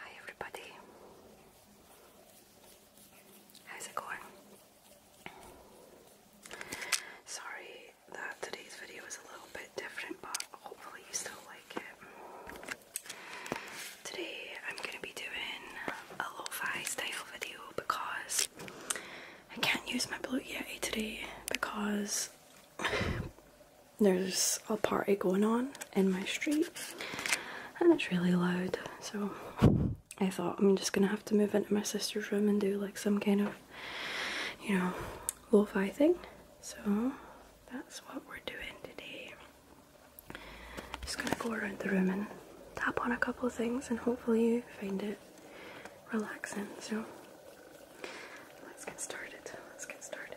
Hi everybody. How's it going? Sorry that today's video is a little bit different, but hopefully you still like it. Today I'm gonna be doing a low fi style video because I can't use my Blue Yeti today because there's a party going on in my street and it's really loud so I thought I'm just gonna have to move into my sister's room and do like some kind of you know lo thing so that's what we're doing today just gonna go around the room and tap on a couple of things and hopefully you find it relaxing so let's get started let's get started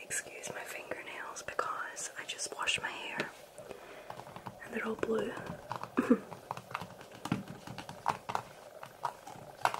Excuse my fingernails because I just washed my hair and they're all blue.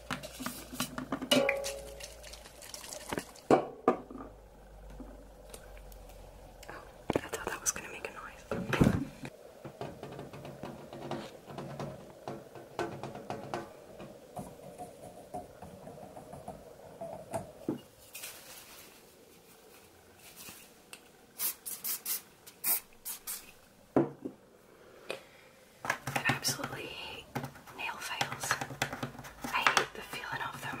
Oh, I thought that was going to make a noise. I absolutely hate nail files. I hate the feeling of them.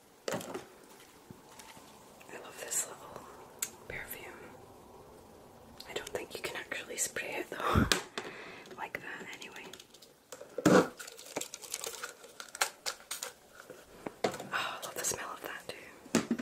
I love this little perfume. I don't think you can actually spray it though, like that anyway. Oh, I love the smell of that too.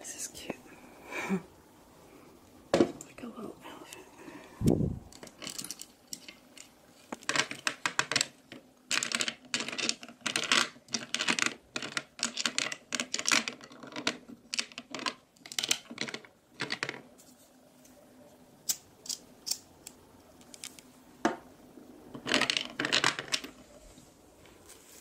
This is cute. like a little elephant.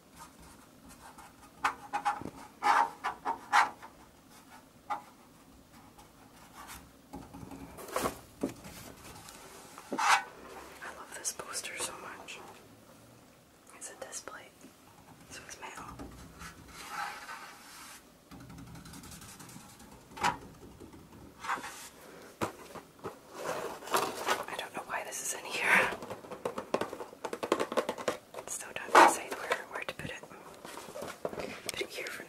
I love this poster so much. It's a display, so it's mail. I don't know why this is in here. Still don't decide where to put it. Put it here for now.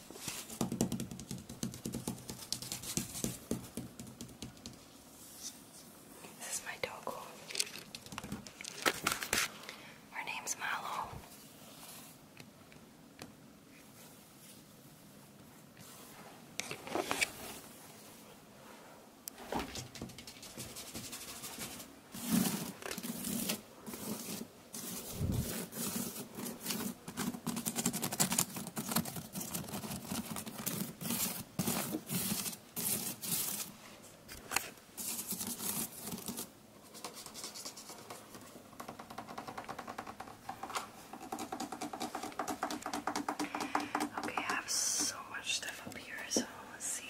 This is my dog. Her name's Milo. Okay, I have so much stuff up here, so let's see.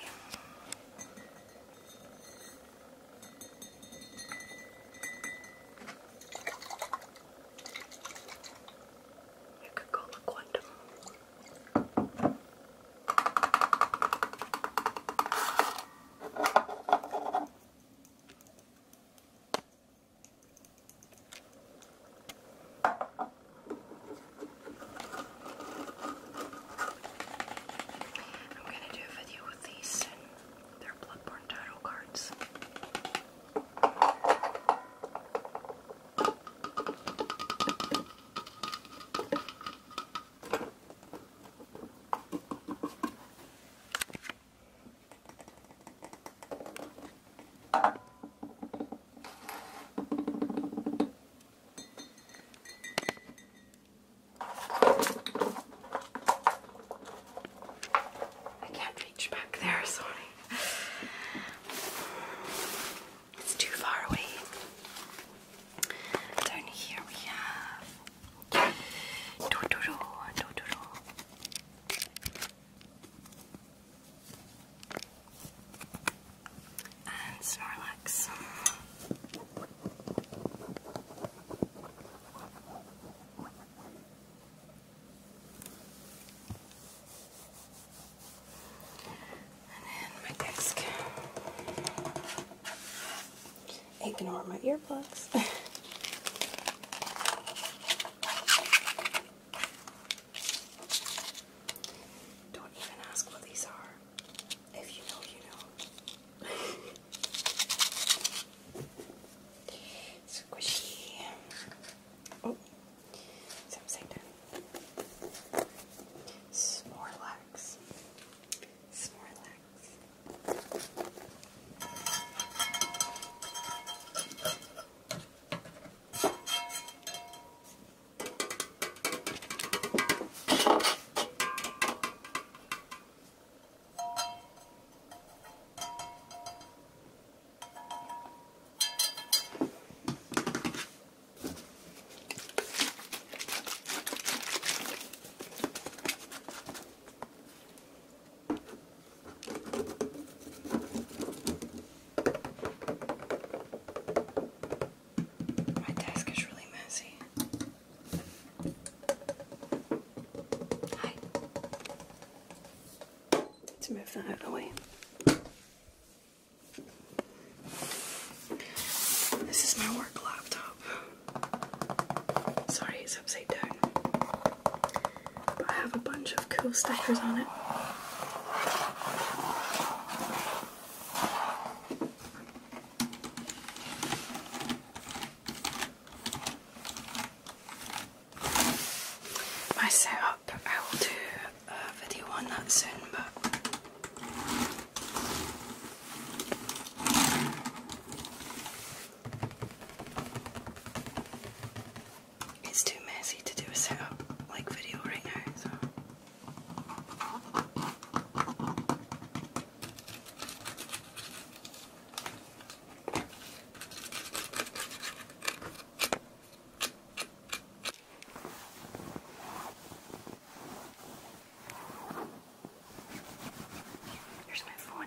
You could call quantum. I'm going to do a video with these soon. They're Bloodborne title cards. I can't reach back there, sorry. It's too far away. Down here we have Totoro, Totoro. And Snorlax. And then my desk. Ignore my earplugs. Don't even ask what these are. If you know, you know. Squishy. Oh, Samsung done. Snorlax. Snorlax. My desk is really messy. Hi. Let's move that out of the way. This is my work laptop. Sorry, it's upside down. I have a bunch of cool stickers on it. My setup, I will do a video on that soon, but it's too messy to do a setup like video right now, Here's my phone.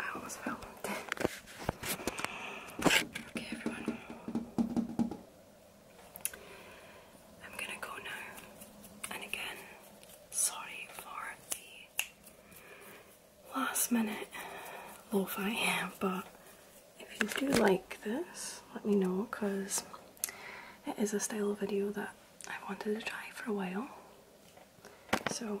I almost fell. okay, everyone. I'm gonna go now. And again, sorry for the last minute lo fi, but if you do like this, let me know because it is a style of video that I wanted to try for a while. So,